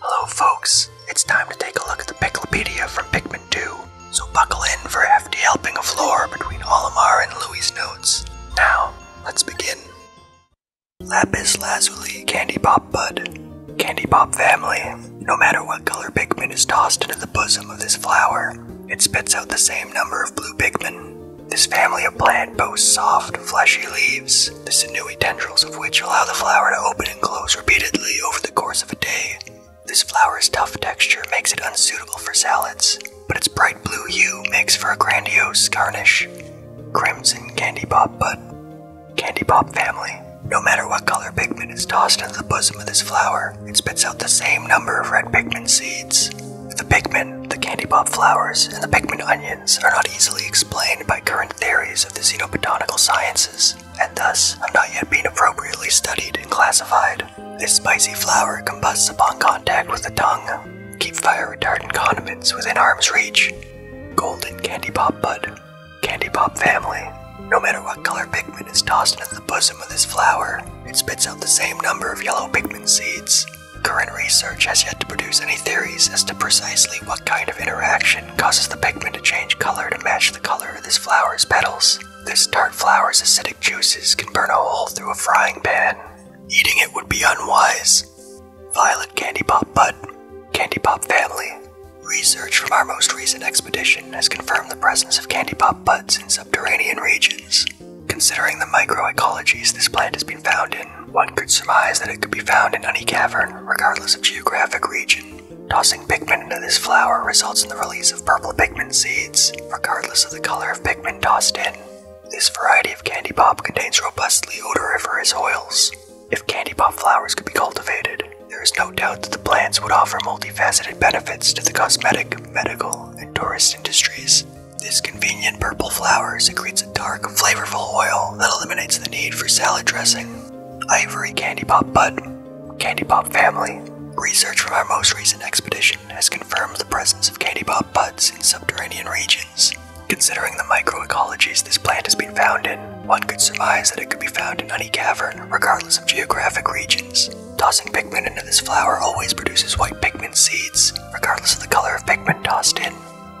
Hello folks, it's time to take a look at the Piclopedia from Pikmin 2, so buckle in for a hefty helping of lore between Olimar and Louis' notes. Now, let's begin. Lapis Lazuli Candy Pop Bud Candy Pop family. No matter what color Pikmin is tossed into the bosom of this flower, it spits out the same number of blue Pikmin. This family of plant boasts soft, fleshy leaves, the sinewy tendrils of which allow the flower to open and close repeatedly over the course of a day. This flower's tough texture makes it unsuitable for salads, but its bright blue hue makes for a grandiose garnish. Crimson Candy Pop Bud Candy Pop Family No matter what color pigment is tossed into the bosom of this flower, it spits out the same number of red pigment seeds. The pigment, the candy pop flowers, and the pigment onions are not easily explained by current theories of the xenobotanical sciences, and thus have not yet been appropriately studied and classified. This spicy flower combusts upon contact with the tongue. Keep fire retardant condiments within arm's reach. Golden Candy Pop Bud. Candy Pop Family. No matter what color pigment is tossed into the bosom of this flower, it spits out the same number of yellow pigment seeds. Current research has yet to produce any theories as to precisely what kind of interaction causes the pigment to change color to match the color of this flower's petals. This tart flower's acidic juices can burn a hole through a frying pan. Eating it would be unwise. Violet Candy Pop Bud, Candy Pop Family. Research from our most recent expedition has confirmed the presence of candy pop buds in subterranean regions. Considering the microecologies this plant has been found in, one could surmise that it could be found in any cavern, regardless of geographic region. Tossing pigment into this flower results in the release of purple pigment seeds, regardless of the color of pigment tossed in. This variety of candy pop contains robustly odoriferous oils. If candy pop flowers could be cultivated, there is no doubt that the plants would offer multifaceted benefits to the cosmetic, medical, and tourist industries. This convenient purple flower secretes a dark, flavorful oil that eliminates the need for salad dressing. Ivory Candy Pop Bud, Candy Pop family. Research from our most recent expedition has confirmed the presence of Candy Pop buds in subterranean regions. Considering the microecologies this plant has been found in, one could surmise that it could be found in any cavern, regardless of geographic regions. Tossing pigment into this flower always produces white pigment seeds, regardless of the color of pigment tossed in.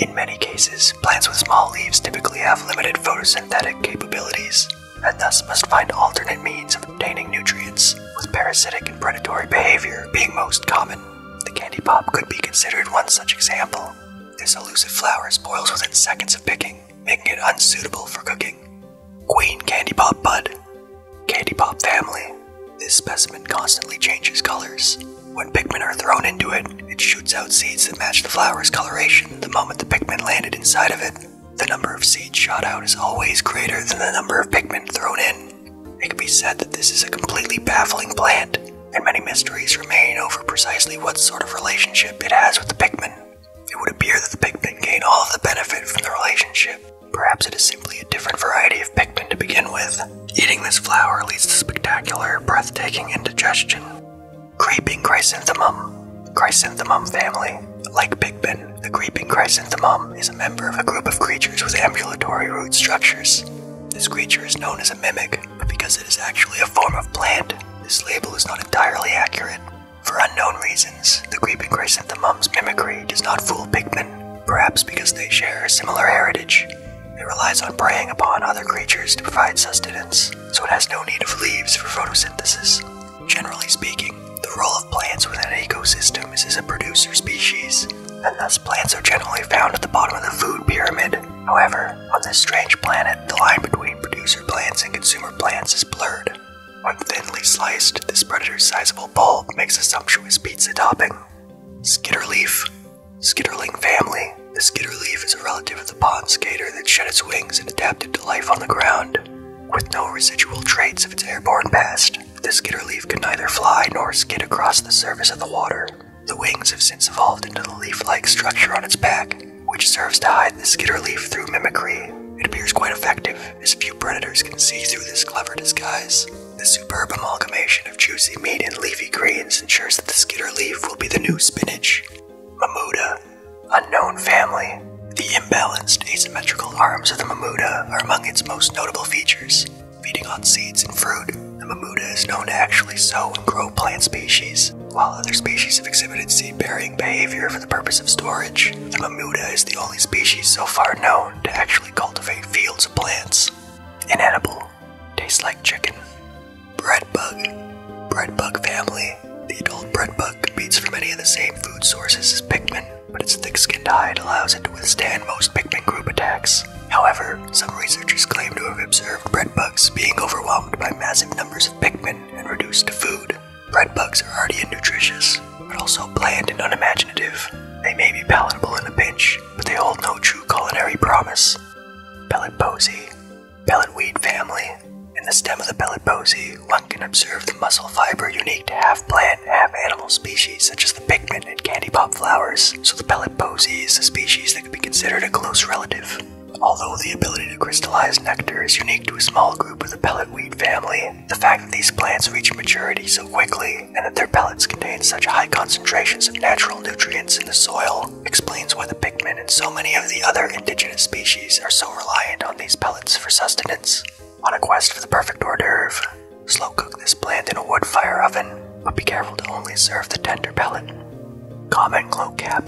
In many cases, plants with small leaves typically have limited photosynthetic capabilities, and thus must find alternate means of obtaining nutrients, with parasitic and predatory behavior being most common. The candy pop could be considered one such example. This elusive flower spoils within seconds of picking, making it unsuitable for cooking. Queen Candy Pop Bud Candy Pop Family This specimen constantly changes colors, when Pikmin are thrown into it, it shoots out seeds that match the flower's coloration the moment the Pikmin landed inside of it. The number of seeds shot out is always greater than the number of Pikmin thrown in. It can be said that this is a completely baffling plant, and many mysteries remain over precisely what sort of relationship it has with the Pikmin. It would appear that the Pikmin gain all of the benefit from the relationship. Perhaps it is simply a different variety of Pikmin to begin with. Eating this flower leads to spectacular, breathtaking indigestion. Creeping chrysanthemum, chrysanthemum family. Like Pigpen, the creeping chrysanthemum is a member of a group of creatures with ambulatory root structures. This creature is known as a mimic, but because it is actually a form of plant, this label is not entirely accurate. For unknown reasons, the creeping chrysanthemum's mimicry does not fool Pigmen, perhaps because they share a similar heritage. It relies on preying upon other creatures to provide sustenance, so it has no need of leaves for photosynthesis. Generally speaking, the role of plants within an ecosystem is as a producer species, and thus plants are generally found at the bottom of the food pyramid. However, on this strange planet, the line between producer plants and consumer plants is blurred. When thinly sliced, this predator's sizable bulb makes a sumptuous pizza topping. Skitterleaf, Skitterling family. The skitterleaf is a relative of the pond skater that shed its wings and adapted to life on the ground. With no residual traits of its airborne past, the skitterleaf can neither fly nor skid across the surface of the water. The wings have since evolved into the leaf-like structure on its back, which serves to hide the skitterleaf through mimicry. It appears quite effective, as few predators can see through this clever disguise. The superb amalgamation of juicy meat and leafy greens ensures that the skidder leaf will be the new spinach. Mamuda, unknown family. The imbalanced asymmetrical arms of the mamuda are among its most notable features. Feeding on seeds and fruit, the mamuda is known to actually sow and grow plant species. While other species have exhibited seed-bearing behavior for the purpose of storage, the mamuda is the only species so far known to actually cultivate fields of plants. Inedible. Tastes like chicken. Breadbug. Breadbug family. The adult breadbug competes for many of the same food sources as pigmen, but its thick-skinned hide allows it to withstand most pigmen group attacks. However, some researchers claim to have observed breadbugs being overwhelmed by massive numbers of pigmen and reduced to food. Breadbugs are hardy and nutritious, but also bland and unimaginative. They may be palatable in a pinch, but they hold no true culinary promise. Pellet posy. Pelletweed family. In the stem of the pellet posy, one can observe the muscle fiber unique to half plant, half animal species such as the pigment and candy pop flowers, so the pellet posy is a species that could be considered a close relative. Although the ability to crystallize nectar is unique to a small group of the pelletweed family, the fact that these plants reach maturity so quickly and that their pellets contain such high concentrations of natural nutrients in the soil explains why the pigmen and so many of the other indigenous species are so reliant on these pellets for sustenance. On a quest for the perfect hors d'oeuvre, slow cook this plant in a wood fire oven, but be careful to only serve the tender pellet. Common glowcap.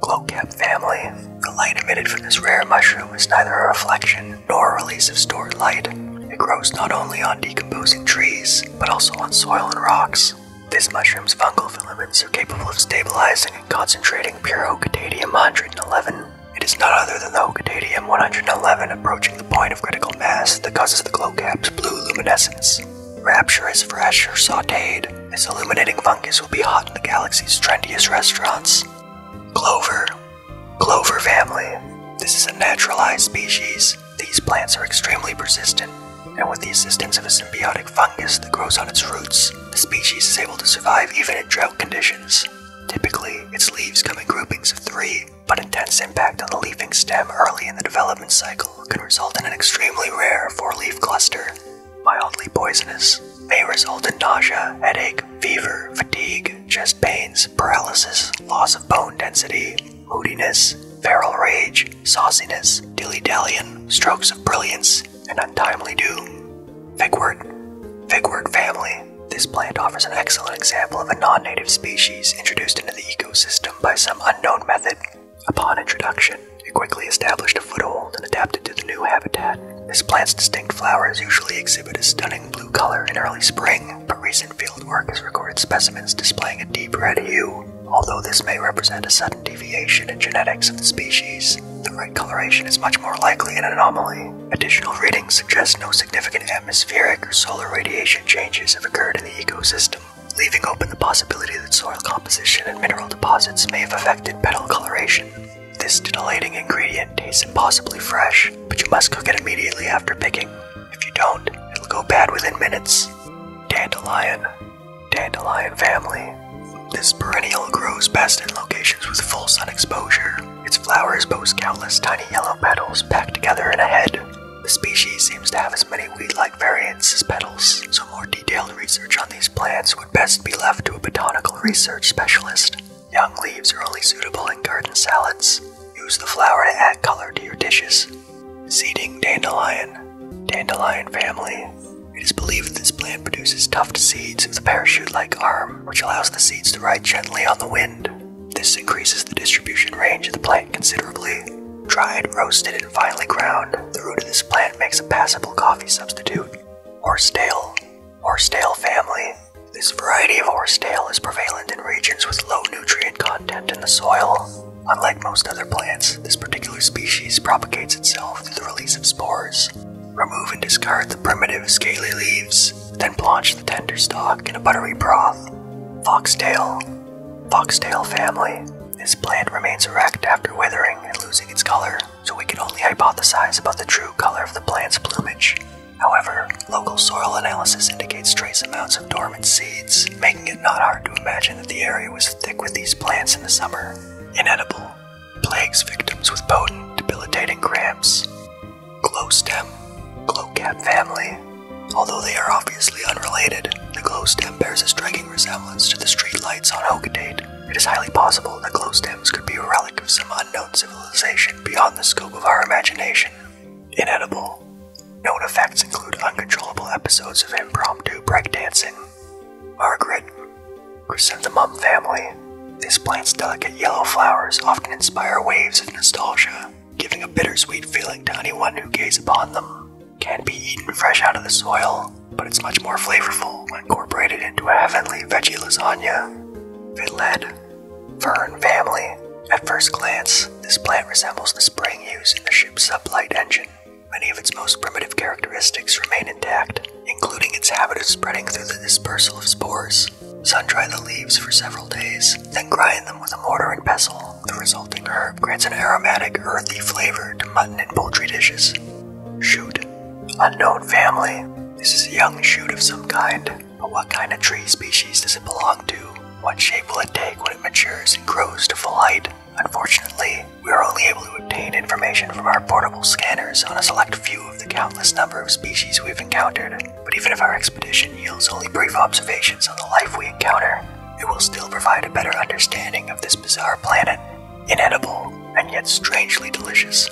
Glowcap family. The light emitted from this rare mushroom is neither a reflection nor a release of stored light. It grows not only on decomposing trees, but also on soil and rocks. This mushroom's fungal filaments are capable of stabilizing and concentrating pure Ocatadium 111. It is none other than the Ocatadium 111 approaching the point of critical mass that causes the glowcap's blue luminescence. Rapture is fresh or sauteed. This illuminating fungus will be hot in the galaxy's trendiest restaurants. Clover. Clover family. This is a naturalized species. These plants are extremely persistent, and with the assistance of a symbiotic fungus that grows on its roots, the species is able to survive even in drought conditions. Typically, its leaves come in groupings of three, but intense impact on the leafing stem early in the development cycle can result in an extremely rare four-leaf cluster. Mildly poisonous, may result in nausea, headache, fever, fatigue, chest pains, paralysis, loss of bone density, moodiness, feral rage, sauciness, dilly dallying, strokes of brilliance, and untimely doom. Figwort. Figwort family. This plant offers an excellent example of a non native species introduced into the ecosystem by some unknown method. Upon introduction, it quickly established a foothold and adapted to the new habitat. This plant's distinct flowers usually exhibit a stunning blue color in early spring, but recent fieldwork has recorded specimens displaying a deep red hue. Although this may represent a sudden deviation in genetics of the species, the red coloration is much more likely an anomaly. Additional readings suggest no significant atmospheric or solar radiation changes have occurred in the ecosystem, leaving open the possibility that soil composition and mineral deposits may have affected petal coloration. This titillating ingredient tastes impossibly fresh, but you must cook it immediately after picking. If you don't, it'll go bad within minutes. Dandelion, Dandelion family. This perennial grows best in locations with full sun exposure. Its flowers boast countless tiny yellow petals packed together in a head. The species seems to have as many weed-like variants as petals, so more detailed research on these plants would best be left to a botanical research specialist. Young leaves are only suitable in garden salads. Use the flower to add color to your dishes. Seeding dandelion, dandelion family. It is believed this plant produces tufted seeds with a parachute-like arm, which allows the seeds to ride gently on the wind. This increases the distribution range of the plant considerably. Dried, roasted, and finely ground, the root of this plant makes a passable coffee substitute. Horsetail, horsetail family. This variety of horsetail is prevalent in regions with low nutrient content in the soil. Unlike most other plants, this particular species propagates itself through the release of spores. Remove and discard the primitive scaly leaves, then blanch the tender stalk in a buttery broth. Foxtail. Foxtail family. This plant remains erect after withering and losing its color, so we can only hypothesize about the true color of the plant's plumage. However, local soil analysis indicates trace amounts of dormant seeds making it not hard to imagine that the area was thick with these plants in the summer. Inedible, plagues victims with potent, debilitating cramps. Glowstem, glowcap family. Although they are obviously unrelated, the glowstem bears a striking resemblance to the streetlights on Hokodate. It is highly possible that glowstems could be a relic of some unknown civilization beyond the scope of our imagination. Inedible, Known effects include uncontrollable episodes of impromptu breakdancing. Margaret, Chrysanthemum family. This plant's delicate yellow flowers often inspire waves of nostalgia, giving a bittersweet feeling to anyone who gazes upon them. Can be eaten fresh out of the soil, but it's much more flavorful when incorporated into a heavenly veggie lasagna. Vinled, Fern family. At first glance, this plant resembles the spring used in the ship's sublight engine, Many of its most primitive characteristics remain intact, including its habit of spreading through the dispersal of spores. Sun dry the leaves for several days, then grind them with a mortar and pestle. The resulting herb grants an aromatic, earthy flavor to mutton and poultry dishes. Shoot. Unknown family. This is a young shoot of some kind, but what kind of tree species does it belong to? What shape will it take when it matures and grows to full height? Unfortunately, we are only able to obtain information from our portable scanners on a select few of the countless number of species we've encountered, but even if our expedition yields only brief observations on the life we encounter, it will still provide a better understanding of this bizarre planet, inedible and yet strangely delicious.